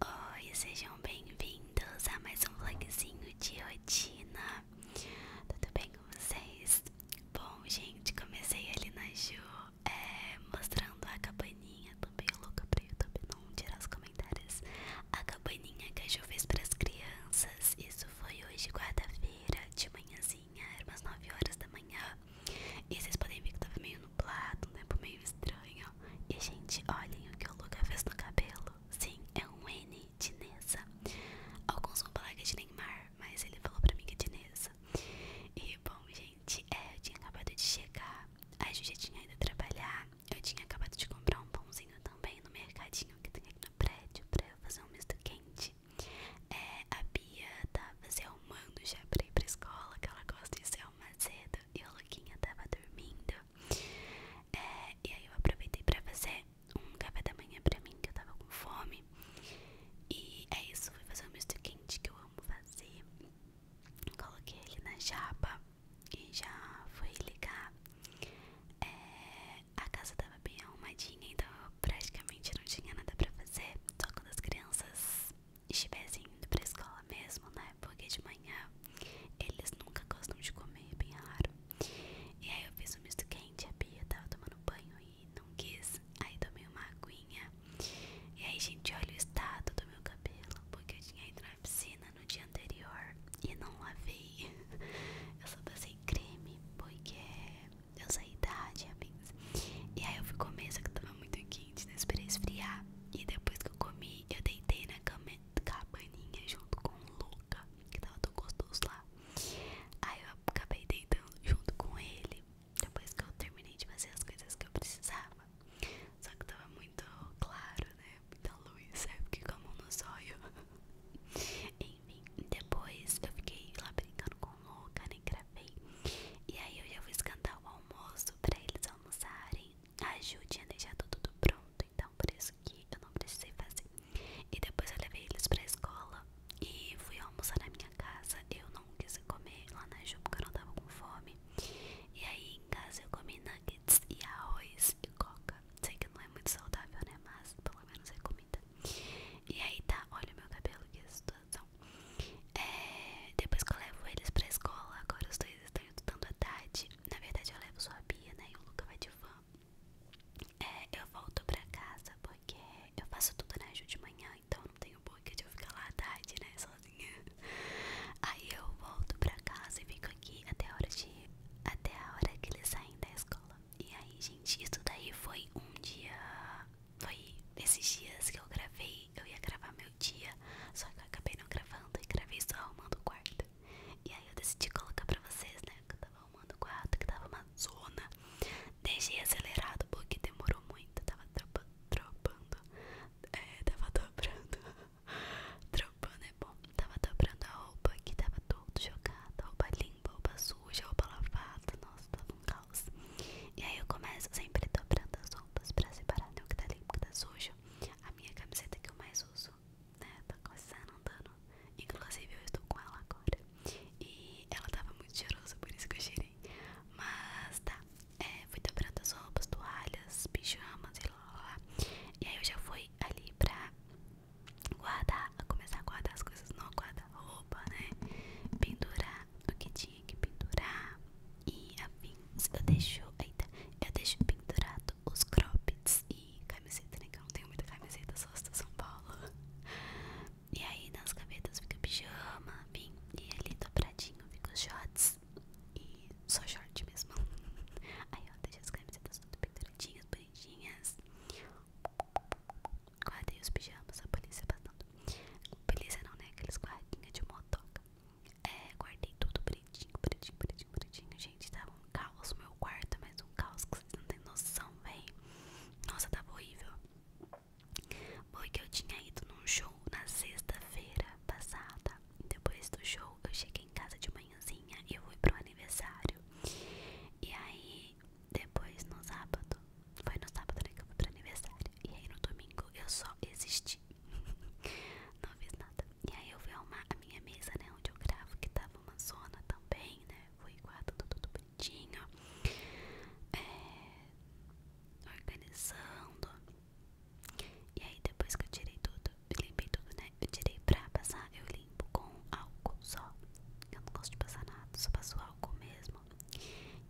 Oi, sejam bem-vindos a mais um vlogzinho de rotina. Tudo bem com vocês? Bom, gente, comecei ali na Ju é, mostrando a cabaninha. Tô bem louca pra YouTube não tirar os comentários. A cabaninha que a Ju fez pras crianças. Isso foi hoje, quarta-feira, de manhãzinha, era umas 9 horas da manhã. E vocês podem ver que tava meio um tempo né, meio estranho. E, gente, olhem o que o Luca fez no cabelo. Sim, é um N de Neza. Alguns vão falar é de Neymar, mas ele falou pra mim que é de Neza. E, bom, gente, é, eu tinha acabado de chegar. A Ju já tinha ido trabalhar. Eu tinha acabado de comprar um pãozinho também no mercadinho que tem aqui no prédio pra fazer um misto quente. É, a Bia tava tá se arrumando já pra ir pra escola, que ela gosta de se céu mais e o Luquinha tava dormindo. É, e aí eu aproveitei pra fazer um café da manhã pra mim, que eu tava com fome. E é isso, fui fazer um misto quente que eu amo fazer. Coloquei ele na chapa e já fui ligar. É, a casa tava bem arrumadinha, então praticamente não tinha nada pra fazer. Só com as crianças estivessem indo pra escola mesmo, né? Porque de manhã eles nunca gostam de comer, é bem raro. E aí eu fiz um misto quente, a Bia tava tomando banho e não quis. Aí tomei uma aguinha. E aí, gente, olha o estado do meu cabelo, porque eu tinha ido na piscina no dia anterior e não lavei. Eu só passei creme, porque eu saí tarde, amigos. E aí eu fui comer, só que tava muito quente quente, né? Esperei esfriar. E depois que eu comi, eu deitei na cabaninha junto com o Luca, que tava tão gostoso lá. Aí eu acabei deitando junto com ele. Depois que eu terminei de fazer as coisas que eu precisava. Só que tava muito claro, né? Muita luz, sabe? Porque com a mão nos olhos. Enfim, depois eu fiquei lá brincando com o Luca, nem gravei. E aí eu já vou escantar o almoço pra eles almoçarem ajude a deixar tudo pronto. Então, por isso que eu não precisei fazer. E depois eu levei eles pra escola e fui almoçar na minha casa. Eu não quis comer lá na Ju porque eu não tava com fome. E aí em casa eu comi nuggets e arroz e coca. Sei que não é muito saudável, né? Mas pelo menos é comida. E aí tá, olha o meu cabelo, que situação. É, depois que eu levo eles pra escola, agora os dois estão estudando à tarde. Na verdade, eu levo só a Bia, né? E o Luca vai de van. É, eu volto pra casa porque eu faço tudo na né, Ju de manhã, então não tenho porquê de eu ficar lá à tarde, né? Sozinha. Aí eu volto pra casa e fico aqui até a hora de. Até a hora que eles saem da escola. E aí, gente, isso daí foi um dia. Foi esses dias que eu gravei. Eu ia gravar dia, só que eu acabei não gravando e gravei só arrumando o quarto. E aí eu decidi colocar pra vocês, né? Que eu tava arrumando o quarto, que tava uma zona. Deixei acelerado porque demorou muito, tava tropa, é, tava dobrando. tropando é bom. Tava dobrando a roupa que tava todo jogada Roupa limpa, roupa suja, roupa lavada. Nossa, tava um caos. E aí eu começo sempre dobrando as roupas pra separar né, o que tá limpo, o que tá sujo. A minha camiseta que eu mais uso, né? Tá coçando, andando. Inclusive eu estou com ela agora. E ela tava muito cheirosa, por isso que eu cheirei. Mas tá, é, fui dobrando as roupas, toalhas, pijamas e lá, lá, lá. E aí eu já fui ali pra guardar, começar a guardar as coisas não guardar roupa né? Pendurar o que tinha que pendurar e afins. Eu deixo, eita, eu deixo pendurado os croppeds e camiseta, né? não tenho muita camiseta, só as do São Paulo. E aí nas gavetas fica pijama, bem, e ali dobradinho fica os shorts e só short mesmo. Aí eu deixo as camisetas tudo penduradinhas, bonitinhas. Guardei os pijamas, a polícia passando. Polícia não, né? Aqueles guardinhas de motoca. É, guardei tudo bonitinho, bonitinho, bonitinho, bonitinho. Gente, tava um caos no meu quarto, mas um caos que vocês não tem noção, véi. Nossa, tava horrível. Porque eu tinha ido num show na sexta-feira passada. Depois do show, eu cheguei em casa de manhãzinha e eu fui pro aniversário. E aí, depois no sábado, foi no sábado né, que eu fui pro aniversário. E aí no domingo eu só existi. Não fiz nada. E aí eu fui arrumar a minha mesa, né? Onde eu gravo, que tava uma zona também, né? Fui guardando tudo bonitinho. É, organizando. E aí depois que eu tirei tudo, limpei tudo, né? Eu tirei pra passar, eu limpo com álcool só. Eu não gosto de passar nada, só passo álcool mesmo.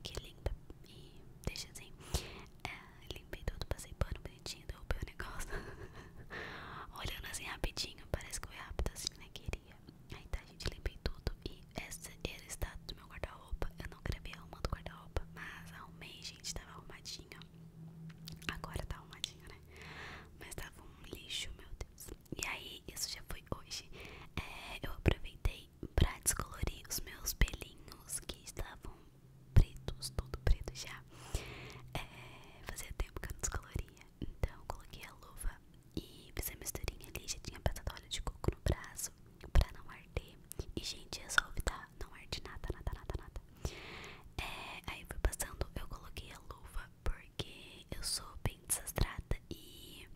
Que limpa e deixa assim. É, limpei tudo, passei pano bonitinho, derrubei o negócio. Olhando assim rapidinho, parece que foi rápido assim, né? Queria. Aí tá, gente, limpei tudo. E esse era o estado do meu guarda-roupa. Eu não gravei a arrumando do guarda-roupa, mas arrumei, gente, tava arrumadinho. Agora tá arrumadinho, né? Mas tava um lixo, meu Deus. E aí, isso já foi hoje. É, eu aproveitei pra descolorir os meus pelinhos que estavam pretos, tudo preto já. É, fazia tempo que eu não descoloria, então coloquei a luva e fiz a misturinha ali. Já tinha de óleo de coco no braço pra não arder. E, gente, é resolve, tá? Não arde nada, nada, nada, nada. É, aí fui passando, eu coloquei a luva porque eu sou bem desastrada e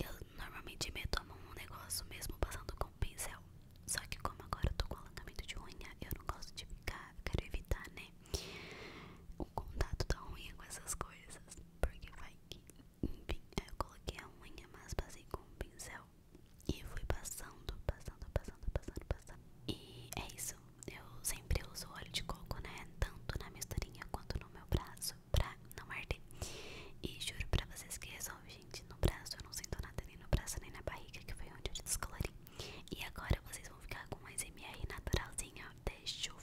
eu normalmente meto a mão no negócio mesmo passando com o pincel. Só que como agora eu tô com o alongamento de unha, eu não gosto de ficar, quero evitar, né? O contato da unha com essas coisas, porque vai que, enfim, aí eu coloquei a unha, mas passei com um pincel e fui passando, passando, passando, passando, passando. E é isso, eu sempre uso óleo de coco, né? Tanto na misturinha quanto no meu braço, pra não arder. E juro pra vocês que resolve, no braço. Eu não sinto nada nem no braço, nem na barriga, que foi onde eu descolori. E agora vocês vão ficar com mais SMR naturalzinha de chuva.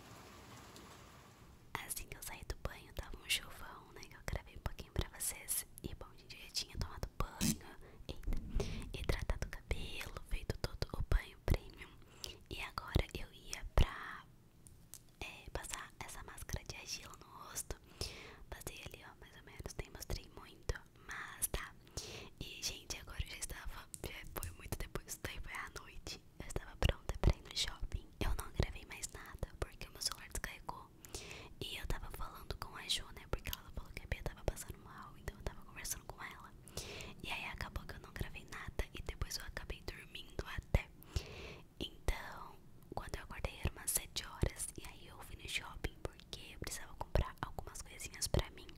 Assim que eu saí do banho, tava um chovão né? Que eu gravei um pouquinho pra vocês. E bom, gente, eu já tinha tomado banho, eita, hidratado o cabelo, feito todo o banho premium. E agora eu ia pra é, passar essa máscara de argila no rosto. Passei ali, ó, mais ou menos, nem mostrei muito, mas tá. E, gente, agora eu já estava. foi muito depois do tempo, é à noite eu estava pronta para ir no shopping. Eu não gravei mais nada porque o meu celular descarregou. E eu estava falando com a Ju, né? Porque ela falou que a Bia tava passando mal, então eu tava conversando com ela. E aí acabou que eu não gravei nada e depois eu acabei dormindo até. Então, quando eu acordei eram umas 7 horas e aí eu fui no shopping porque eu precisava comprar algumas coisinhas pra mim.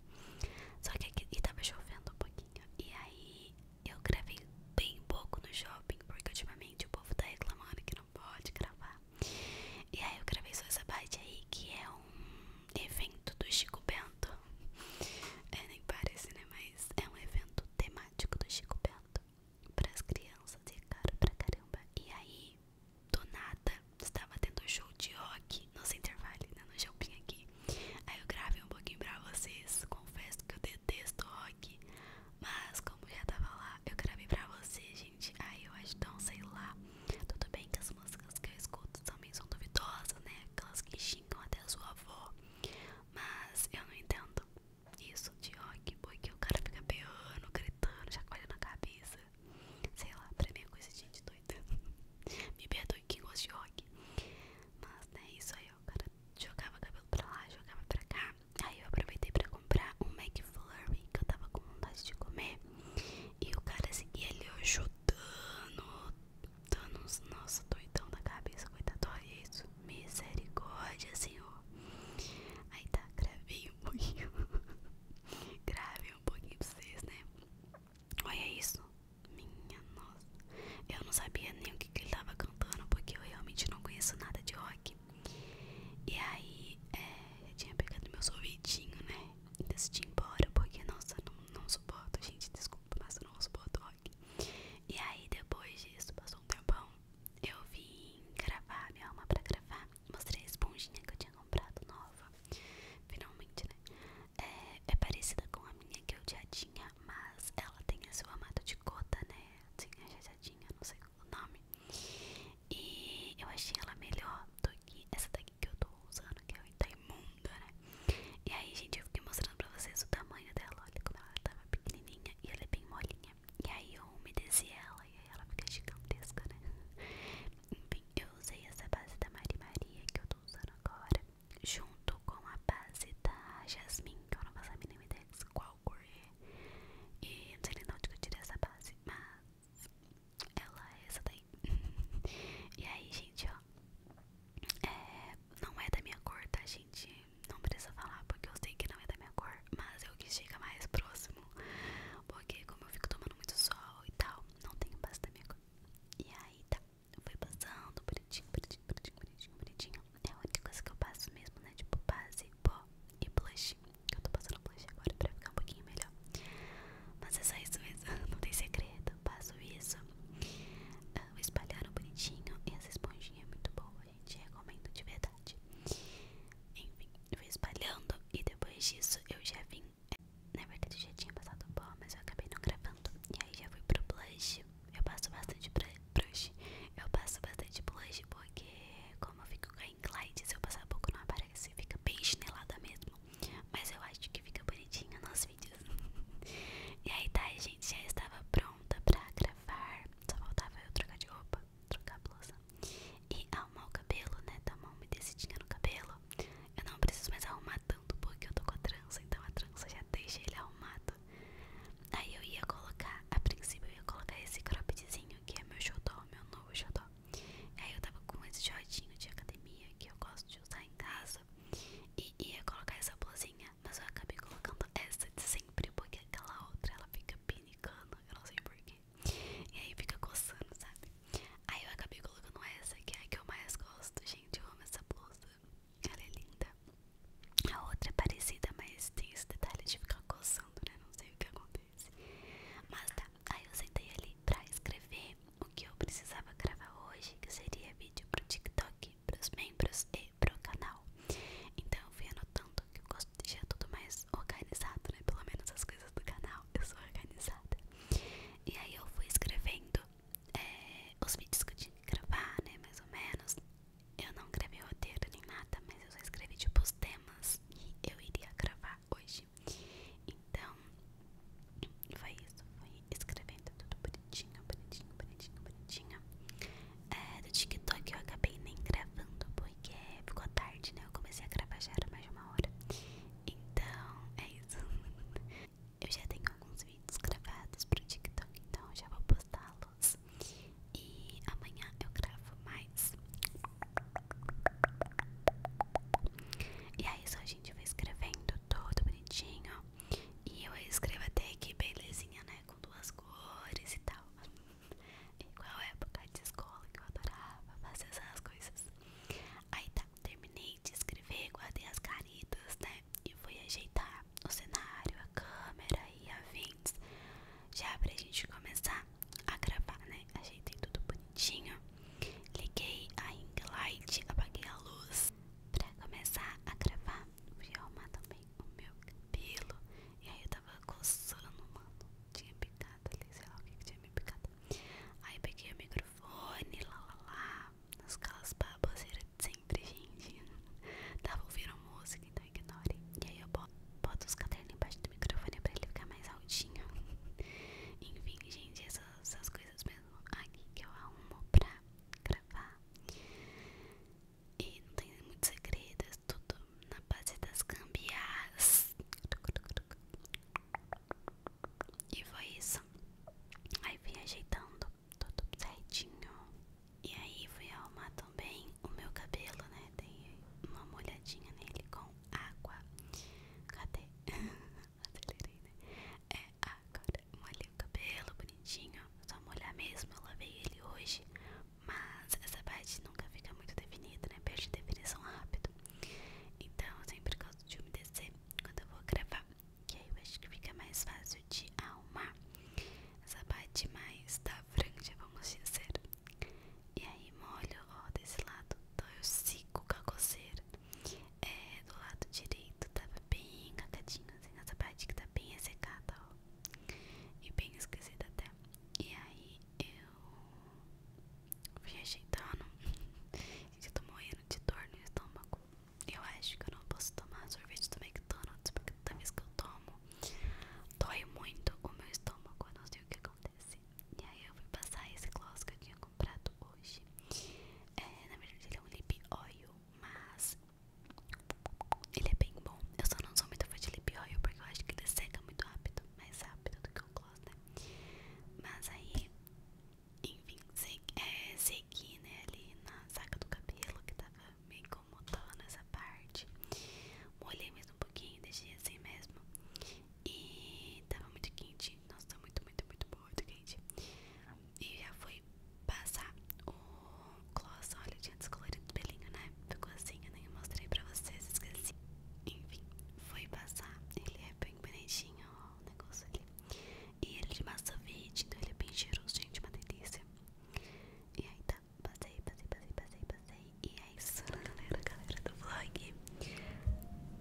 Só que estava chovendo um pouquinho. E aí eu gravei bem pouco no shopping, porque ultimamente o povo tá reclamando que não pode gravar. E aí eu gravei só essa baita aí, que é um evento do Chico Bento. É, nem parece, né? Mas é um evento temático do Chico Bento. Pras crianças, e é caro pra caramba. E aí, do nada, estava tendo um show de rock aqui no Center Valley, né, no shopping aqui. Aí eu gravei um pouquinho pra vocês. Confesso que eu detesto rock, mas como já tava lá, eu gravei pra vocês, gente. Aí eu acho tão, sei lá. Tudo bem que as músicas que eu escuto também são duvidosas, né? Aquelas que xingam até a sua avó. Mas eu não entendo isso de rock, porque o cara fica berrando, gritando, chacoalhando a cabeça. Sei lá, pra mim é coisa de gente doida. Me perdoe quem gosta de rock. Mas, né, é isso aí, ó, cara. Jogava cabelo pra lá, jogava pra cá. Aí eu aproveitei pra comprar um McFlurry que eu tava com vontade de comer. E o cara seguia ali, ajudando, Dando uns. Nossa, doidão da cabeça, coitado. Olha isso. Misericórdia, senhor. Aí tá, gravei um pouquinho. gravei um pouquinho pra vocês, né? Olha isso. Minha nossa. Eu não sabia nem o que, ele tava cantando, porque eu realmente não conheço nada de rock. E aí, é, eu tinha pegado meu sorvetinho, né? E decidi ir embora, porque, nossa, não, não suporto, gente. Desculpa, mas eu não suporto rock. E aí, depois disso, passou um tempão. Eu vim gravar, minha alma pra gravar. Mostrei a esponjinha que eu tinha comprado nova. Finalmente, né? É, é, parecida com a minha que eu já tinha, mas ela tem a sua mata de cota, né? Sim, a jadinha, não sei o nome. E eu achei ela melhor do que essa daqui que eu tô usando, que é o Itaimunda, né? E aí, gente, eu fiquei mostrando pra vocês o tamanho dela. Olha como ela tava pequenininha e ela é bem molinha. E aí eu umedeci ela e aí ela fica gigantesca, né? Enfim, eu usei essa base da Mari Maria que eu tô usando agora junto com a base da Jasmine, que eu não faço a mínima ideia de qual cor é. E não sei nem de onde eu tirei essa base, mas ela é essa daí. e aí, gente, ó, é, não é da minha cor, tá, gente? Não precisa falar porque eu sei que não é da minha cor, mas eu que chegar mais próximo, porque como eu fico tomando muito sol e tal, não tenho base da minha cor. E aí, tá. Foi passando, bonitinho, bonitinho, bonitinho, bonitinho, bonitinho. É a única coisa que eu passo mesmo, né? Tipo, base, pó e blush. Eu tô passando blush agora pra ficar um pouquinho melhor. Mas é só isso mesmo, não tem segredo. Eu passo isso. Ah, uh, espalharam bonitinho. E essa esponjinha é muito boa, gente. Recomendo de verdade. Enfim, eu fui espalhando e depois disso eu já vim é, na verdade eu já tinha passado o pó, mas eu acabei não gravando. E aí já fui pro blush. Eu passo bastante blush, Eu passo bastante blush porque como eu fico com a Inclide, se eu passar pouco não aparece. Fica bem chinelada mesmo. Mas eu acho que fica bonitinha nos vídeos. e aí tá, a gente já estava pronta pra gravar. Só faltava eu trocar de roupa, trocar blusa. E arrumar o cabelo, né? Dar tá, uma umedecidinha no cabelo. Eu não preciso mais arrumar tanto porque eu tô com a trança, então a trança já deixa ele arrumado. Aí eu ia colocar, a princípio eu ia colocar esse croppedzinho que é meu xodó, meu novo xodó. Aí eu tava com esse shortinho de academia que eu gosto de usar em casa e ia colocar essa blusinha, mas eu acabei colocando essa de sempre porque aquela outra ela fica pinicando, eu não sei porquê. E aí fica coçando, sabe? Aí eu acabei colocando essa que é a que eu mais gosto, gente. Eu amo essa blusa. Ela é linda. A outra é parecida, mas tem esse detalhe de ficar coçando, né? Não sei o que acontece. Mas tá, aí eu sentei ali pra escrever o que eu precisava gravar hoje, que seria vídeo pro TikTok, pros membros e pro canal. Então eu fui anotando que eu gosto de deixar tudo mais organizado, né? Pelo menos as coisas do canal, eu sou organizada. E aí eu fui escrevendo é, os vídeos que eu tinha que gravar, né? Mais ou menos. Eu não gravei roteiro nem nada, mas eu só escrevi tipo os temas que eu iria gravar hoje. Então, foi isso. Foi escrevendo tudo bonitinho, bonitinho, bonitinho, bonitinho. É, do TikTok eu acabei nem gravando porque ficou tarde, né? Eu comecei a gravar já era mais de uma hora. Então, é isso. Eu já tenho alguns vídeos gravados pro TikTok, então já vou postá-los. E amanhã eu gravo mais. E aí é só a gente vai escrevendo todo bonitinho. E eu escrevo até que belezinha, né? Com duas cores e tal. Igual época de escola que eu adorava fazer essas coisas. Aí tá terminei de escrever, guardei as caritas, né? E fui ajeitar o cenário, a câmera e a afins. Já pra gente começar a gravar, né? Ajeitei tudo bonitinho. Liguei a ring light, apaguei a luz. Pra começar a gravar, fui arrumar também o meu cabelo. E aí eu tava coçando, mano. Tinha picada ali, sei lá o que, que tinha me picado. Aí peguei o microfone, lá lá lá nos calas baboseiras de sempre, gente. Tava ouvindo música, então ignore. E aí eu boto os cadernos embaixo do microfone pra ele ficar mais altinho. Enfim, gente, essas, essas coisas mesmo aqui que eu arrumo pra gravar. E não tem muito segredo é tudo na base das cambiais e foi isso. Aí fui ajeitando tudo certinho. E aí fui arrumar também o meu cabelo, né? Dei uma molhadinha nele com água. Cadê? Acelerei, né? É, agora molhei o cabelo bonitinho. Só molhar mesmo, eu lavei ele hoje. Mas essa parte nunca fica muito definida, né? Perde definição rápido. Então eu sempre gosto de umedecer quando eu vou gravar que aí eu acho que fica mais fácil de arrumar essa parte mais da franja, vamos dizer. E aí molho, ó, desse lado, então eu sigo com a coceira. É, do lado direito tava bem cacadinho, assim, nessa parte que tá bem ressecada, ó. E bem esquecida até. E aí eu fui ajeitando. Então, gente, eu morrendo de dor no estômago. Eu acho que eu não posso tomar sorvete do McDonald's porque toda vez que eu tomo dói muito o meu estômago. Eu não sei o que acontece. E aí eu fui passar esse gloss que eu tinha comprado hoje. É, na verdade, ele é um lip oil, mas ele é bem bom. Eu só não sou muito fã de lip oil porque eu acho que ele seca muito rápido mais rápido do que o gloss, né? Mas aí enfim, segui é, né, ali na saca do cabelo que tava me incomodando essa parte. Molhei mesmo um pouquinho, deixei assim mesmo. E tava muito quente. Nossa, tá muito, muito, muito, muito quente. E já foi passar o gloss. Olha, eu tinha descolorido o pelinho, né? Ficou assim, eu nem mostrei pra vocês, esqueci. Enfim, foi passar. Ele é bem bonitinho, ó, o negócio ali. E ele é de massa verde, então ele é bem cheiroso, gente, uma delícia. E aí tá, passei, passei, passei, passei, passei. E é isso, galera, galera do vlog.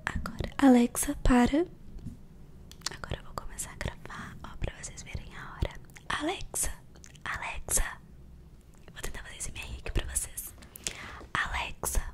Agora, Alexa, para. Agora eu vou começar a gravar, ó, pra vocês verem a hora. Alexa, Alexa. Vou tentar fazer esse MR aqui pra vocês. Alexa,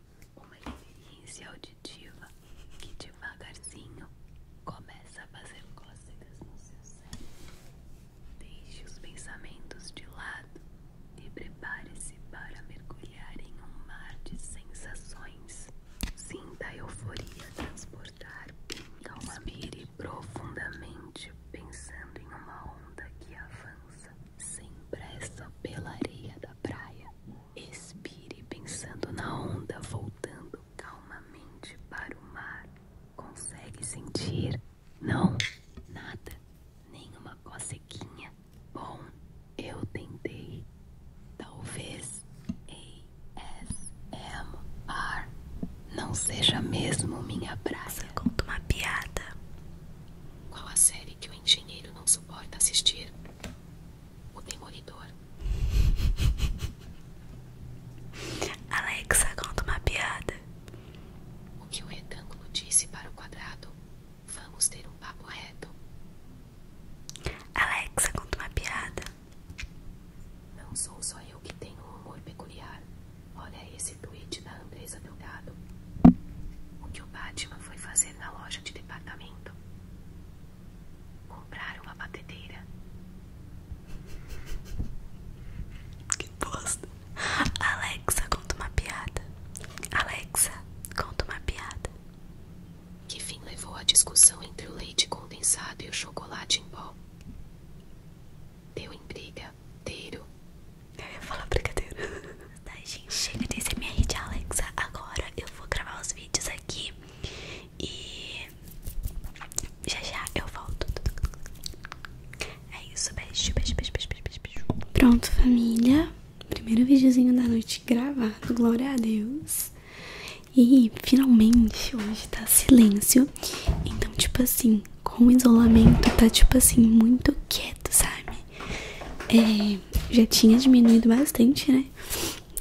uma experiência auditiva que devagarzinho começa a fazer cócegas no seu cérebro. Deixe os pensamentos de lado e prepare-se para mergulhar em um mar de sensações. Sinta a euforia transportar. Inspire profundamente, pensando em uma onda que avança sem pressa pela areia da praia. Expire pensando na onda voltando calmamente para o mar. Consegue sentir? Não, nada, nenhuma cocequinha. Bom, eu tentei. Talvez ASMR não seja mesmo minha praça. conto uma piada. Qual a série que o engenheiro não suporta assistir? o demolidor. Alexa, conta uma piada. O que o retângulo disse para o quadrado? Vamos ter um papo reto. Alexa, conta uma piada. Não sou só eu que tenho um humor peculiar. Olha esse tweet da Andresa Delgado. O que o Batman foi fazer na loja de departamento? comprar uma batedeira. que bosta. Alexa, conta uma piada. Alexa, conta uma piada. Que fim levou a discussão entre o leite condensado e o chocolate em pó? Deu em briga. Teiro. Eu ia falar brigadeiro. Tá, chega desse MR de Alexa. Agora eu vou gravar os aqui e já já eu volto. É isso, beijo, beijo, beijo, beijo, beijo, Pronto, família. Primeiro videozinho da noite gravado, glória a Deus. E finalmente hoje tá silêncio. Então, tipo assim, com o isolamento, tá tipo assim, muito quieto, sabe? É, já tinha diminuído bastante, né?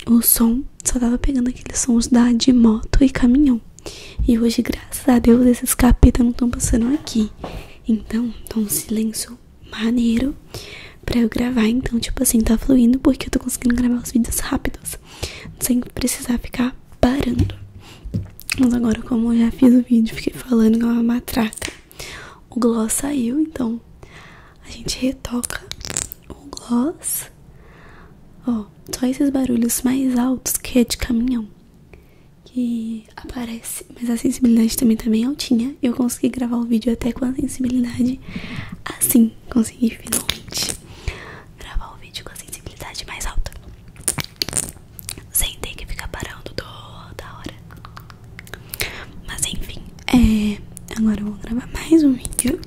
o som só tava pegando aqueles sons da de moto e caminhão. E hoje, graças a Deus, esses capetas não estão passando aqui. Então, tá um silêncio maneiro pra eu gravar. Então, tipo assim, tá fluindo porque eu tô conseguindo gravar os vídeos rápidos. Sem precisar ficar parando. Mas agora, como eu já fiz o vídeo, fiquei falando que é uma matraca. O gloss saiu, então a gente retoca o gloss. Ó, só esses barulhos mais altos que é de caminhão que aparece, mas a sensibilidade também tá bem altinha. Eu consegui gravar o vídeo até com a sensibilidade assim, consegui finalmente gravar o vídeo com a sensibilidade mais alta. Sem ter que ficar parando toda hora. Mas enfim, é, agora eu vou gravar mais um vídeo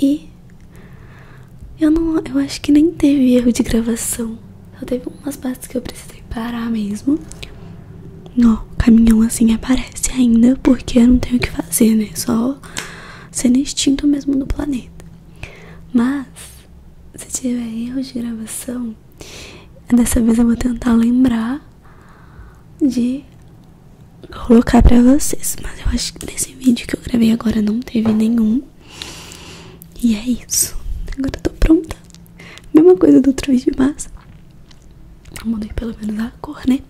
e eu não, eu acho que nem teve erro de gravação. Só teve umas partes que eu precisei parar mesmo. Ó, caminhão assim aparece ainda porque eu não tenho o que fazer, né? Só sendo extinto mesmo no planeta. Mas se tiver erro de gravação, dessa vez eu vou tentar lembrar de colocar pra vocês. Mas eu acho que nesse vídeo que eu gravei agora não teve nenhum. E é isso. Agora eu tô pronta. Mesma coisa do outro vídeo, mas eu mudei pelo menos a cor, né?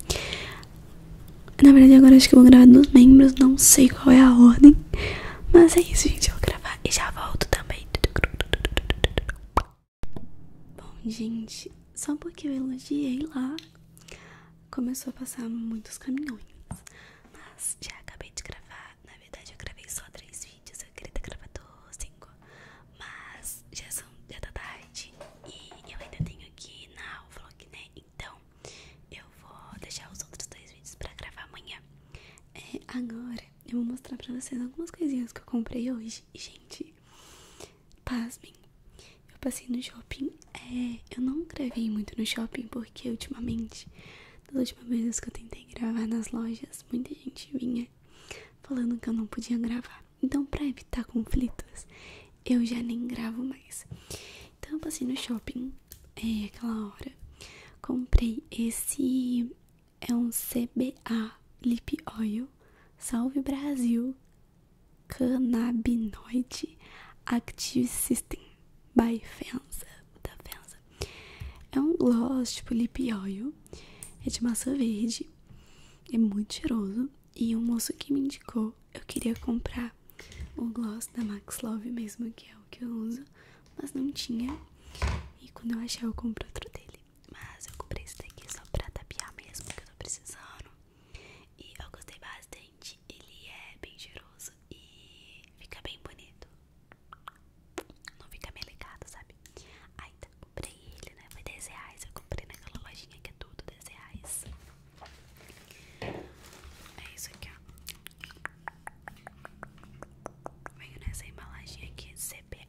Na verdade, agora acho que eu vou gravar dos membros. Não sei qual é a ordem. Mas é isso, gente. Eu vou gravar e já volto também. Bom, gente, só porque eu elogiei lá, começou a passar muitos caminhões. Mas já acabei de gravar. Na verdade, eu gravei só três vídeos. Eu queria ter gravado cinco. Mas já, são, já tá tarde. E eu ainda tenho aqui na vlog, né? Então, eu vou deixar os outros dois vídeos pra gravar amanhã. É, agora, eu vou mostrar pra vocês algumas coisinhas que eu comprei hoje. gente, Pasmem, eu passei no shopping. É, eu não gravei muito no shopping porque ultimamente, das últimas vezes que eu tentei gravar nas lojas, muita gente vinha falando que eu não podia gravar. Então, pra evitar conflitos, eu já nem gravo mais. Então, eu passei no shopping, é aquela hora. Comprei esse. É um CBA Lip Oil. Salve Brasil! Cannabinoid Active System by Fenza. Da Fenza. É um gloss tipo lip oil, é de massa verde, é muito cheiroso. E o um moço que me indicou, eu queria comprar o gloss da Max Love mesmo, que é o que eu uso, mas não tinha. E quando eu achar, eu compro outro dele. Mas eu comprei esse daqui só pra tapiar mesmo, que eu tô precisando. E eu gostei bastante. Ele é bem giroso e fica bem bonito. Não fica meio melecado, sabe? Aí tá, comprei ele, né? Foi 10 reais. Eu comprei naquela lojinha que é tudo 10 reais. É isso aqui, ó. Venho nessa embalagem aqui, CPA.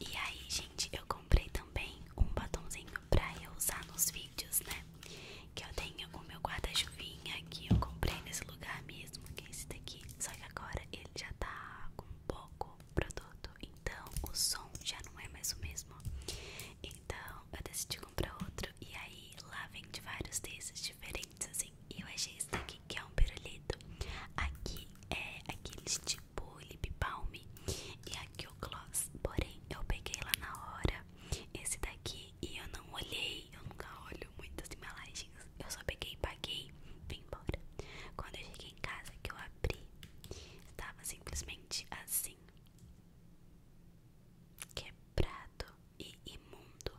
E aí, gente, eu comprei também um batomzinho pra eu usar nos vídeos, né? Que eu tenho o meu guarda-chuvinha que eu comprei nesse lugar mesmo, que é esse daqui. Só que agora ele já tá com pouco produto, então o som já não é mais o mesmo. Então eu decidi comprar outro. E aí lá vende vários desses diferentes, assim. E eu achei esse daqui que é um pirulito. Aqui é aqueles de shampoo, lip balm e aqui o gloss. Porém, eu peguei lá na hora esse daqui e eu não olhei. Eu nunca olho muitas embalagens. Eu só peguei e paguei e vim embora. Quando eu cheguei em casa, que eu abri, estava simplesmente assim. Quebrado e imundo.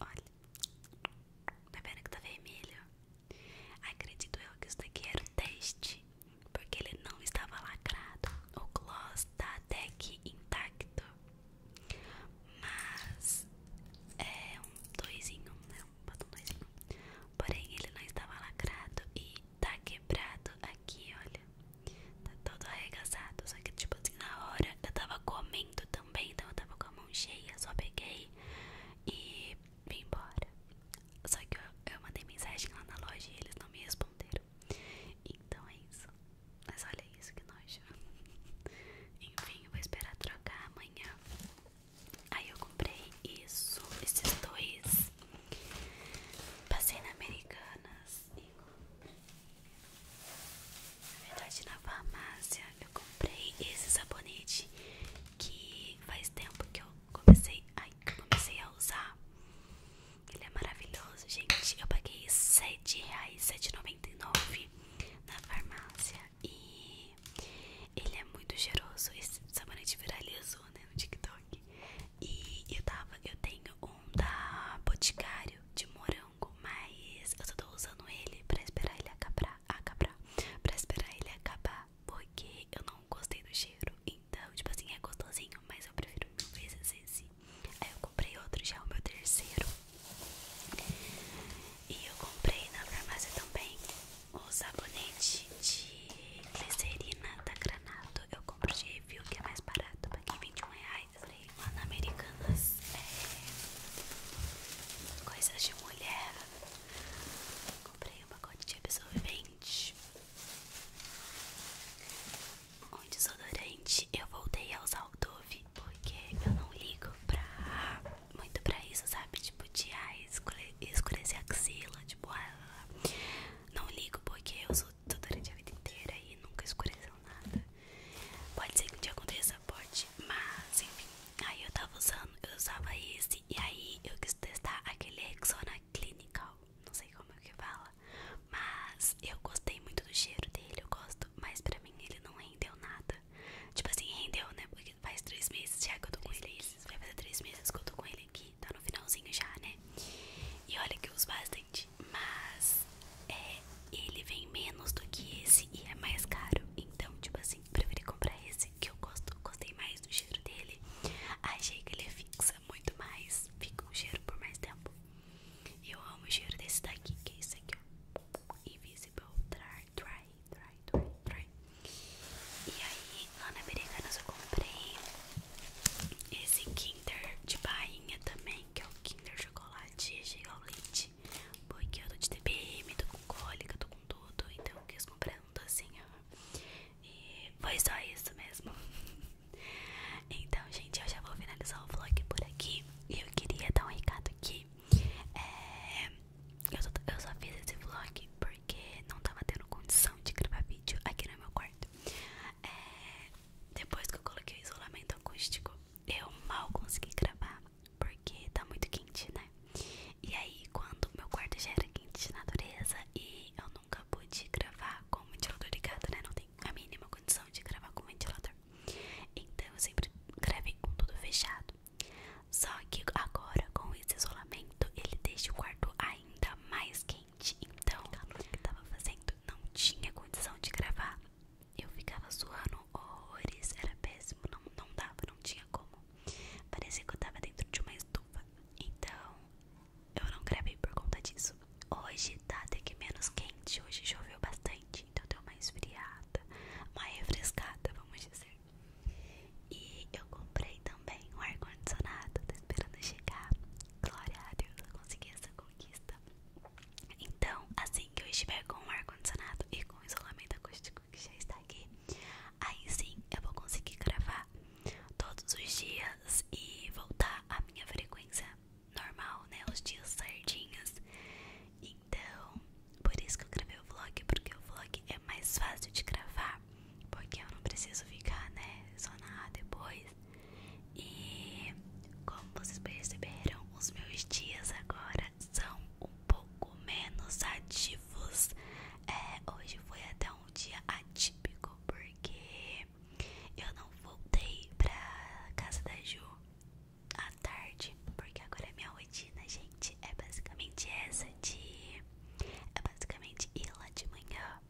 Olha. Tá vendo que tá vermelho? Acredito eu que isso daqui era um teste, porque ele não estava lacrado. O gloss tá até aqui intacto, mas é um dois em um, né? Um Porém, ele não estava lacrado e tá quebrado aqui, olha. Tá todo arregaçado, só que tipo assim, na hora eu tava comendo também, então eu tava com a mão cheia, só peguei e vim embora. Só que eu, mandei mensagem lá na loja e eles não me responderam. Então é isso. Mas olha isso que nojo. Enfim, vou esperar trocar amanhã. Aí eu comprei isso, esses dois. Passei na Americanas e comprei. Na verdade, na farmácia eu comprei esse sabonete que faz tempo que eu comecei, ai, comecei a usar. Ele é maravilhoso, gente. Eu paguei R$ 7,99 na farmácia e ele é muito cheiroso. Esse sabonete viralizou né, no TikTok. E eu tava, eu tenho um da Boticário de morango, mas eu só tô usando ele pra esperar ele acabar, acabar, pra esperar ele acabar porque eu não gostei do cheiro. Então, tipo assim, é gostosinho, mas eu prefiro mil vezes esse. Aí eu comprei outro, já é o meu terceiro. E eu comprei na farmácia também o sabonete de glicerina da Granato. Eu compro de review, que é mais barato, paguei 21 reais. Falei, lá na Americanas é, coisas de mulher. Comprei um pacote de absorvente, um desodorante. Eu voltei a usar o Dove porque eu não ligo pra muito pra isso, sabe? Tipo, de ah, escurecer a axila, tipo, ah, não ligo porque eu uso desodorante a vida inteira e nunca escureceu nada. Pode ser que um dia aconteça, pode, mas enfim. Aí eu tava usando, eu usava esse e aí eu quis testar aquele exona Clinical, não sei como é que fala, mas eu gostei muito do cheiro dele, eu gosto, mas pra mim ele não rendeu nada. Tipo assim, rendeu, né? Porque faz três meses já que eu tô com ele. Vai fazer três meses que eu tô com ele aqui, tá no finalzinho já, né? E olha que eu uso bastante, mas é, ele vem menos do que esse e é mais caro, então, tipo assim assim, preferi comprar esse que eu gosto, gostei mais do cheiro dele. Achei que ele fixa muito mais, fica um cheiro por mais tempo. eu amo o cheiro desse daqui, que é esse aqui, ó. Invisible Dry, Dry, Dry, Dry, E aí, lá na Americanas eu comprei esse Kinder de bainha também, que é o Kinder Chocolate, chega ao leite. Porque eu tô de TPM, tô com cólica, tô com tudo, então eu quis comprar tanto assim, E foi só isso mesmo. Então, gente, eu já vou finalizar o vlog por aqui. E eu queria dar um recado aqui. É, eu, só, eu só fiz esse vlog porque não tava tendo condição de gravar vídeo aqui no meu quarto. É, depois que eu coloquei o isolamento acústico, eu mal consegui gravar porque tá muito quente, né? E aí, quando meu quarto já era quente de natureza e eu nunca pude gravar com o ventilador ligado, né? Não tem a mínima condição de gravar com o ventilador. Então eu sempre gravei com tudo fechado. Só que agora, com esse isolamento, ele deixa o quarto ainda mais quente. Então, o que eu tava fazendo não tinha condição de gravar. Eu ficava suando horrores, era péssimo, não, não dava, não tinha como. Parecia que eu tava dentro de uma estufa. Então, eu não gravei por conta disso. Hoje tá até que menos quente. Hoje choveu bastante, então eu deu uma esfriada, uma refrescada, vamos dizer. E eu comprei também um ar-condicionado, tô esperando chegar. Glória a Deus, eu consegui essa conquista. Então, assim que eu estiver com um ar-condicionado e com isolamento acústico, que já está aqui, aí sim eu vou conseguir gravar todos os dias e voltar à minha frequência normal, né? Os dias certinhos. Então, por isso que eu gravei o vlog, porque o vlog é mais fácil de gravar, porque eu não preciso ficar, né? sonar depois. E como vocês perceberam, os meus dias agora são um pouco menos ativos. É, hoje foi até um dia atípico porque eu não voltei pra casa da Ju à tarde, porque agora é minha rotina, gente, é basicamente essa de é basicamente ir lá de manhã,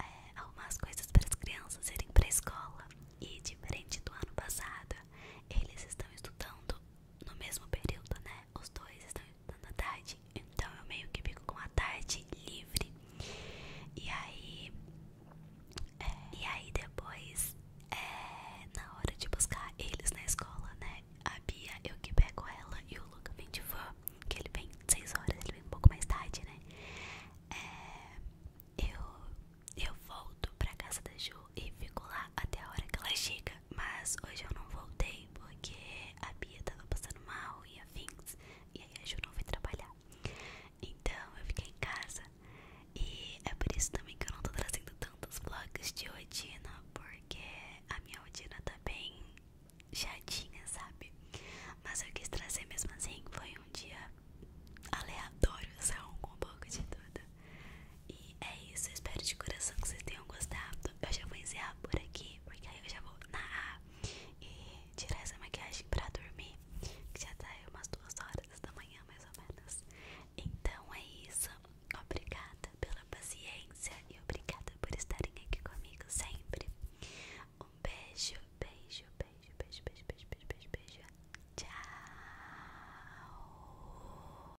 é, arrumar as coisas para as crianças irem pra escola. E diferente do ano passado, eles estão estudando no mesmo período, né? os dois estão estudando à tarde, então eu meio que fico com a tarde livre. E aí, é, e aí depois, é, na hora de buscar eles na escola, né? A Bia, eu que pego ela e o Luca vem de van, que ele vem seis horas, ele vem um pouco mais tarde, né? É, eu, eu volto pra casa da Ju e fico lá até a hora que ela chega. Mas hoje eu não voltei porque a Bia tava passando mal e a afins. E aí a Ju não foi trabalhar. Então eu fiquei em casa. E é por isso também que eu não tô trazendo tantos vlogs de odina Porque a minha odina tá bem chatinha, sabe? Mas eu quis trazer mesmo assim. Foi um dia aleatório, são um pouco de tudo. E é isso, espero de coração que vocês tenham gostado. Eu já vou encerrar por aqui, porque aí eu já vou narrar e tirar essa maquiagem pra dormir, que já tá aí umas duas horas da manhã, mais ou menos. Então é isso, obrigada pela paciência e obrigada por estarem aqui comigo sempre. Um beijo, beijo, beijo, beijo, beijo, beijo, beijo, beijo. Tchau!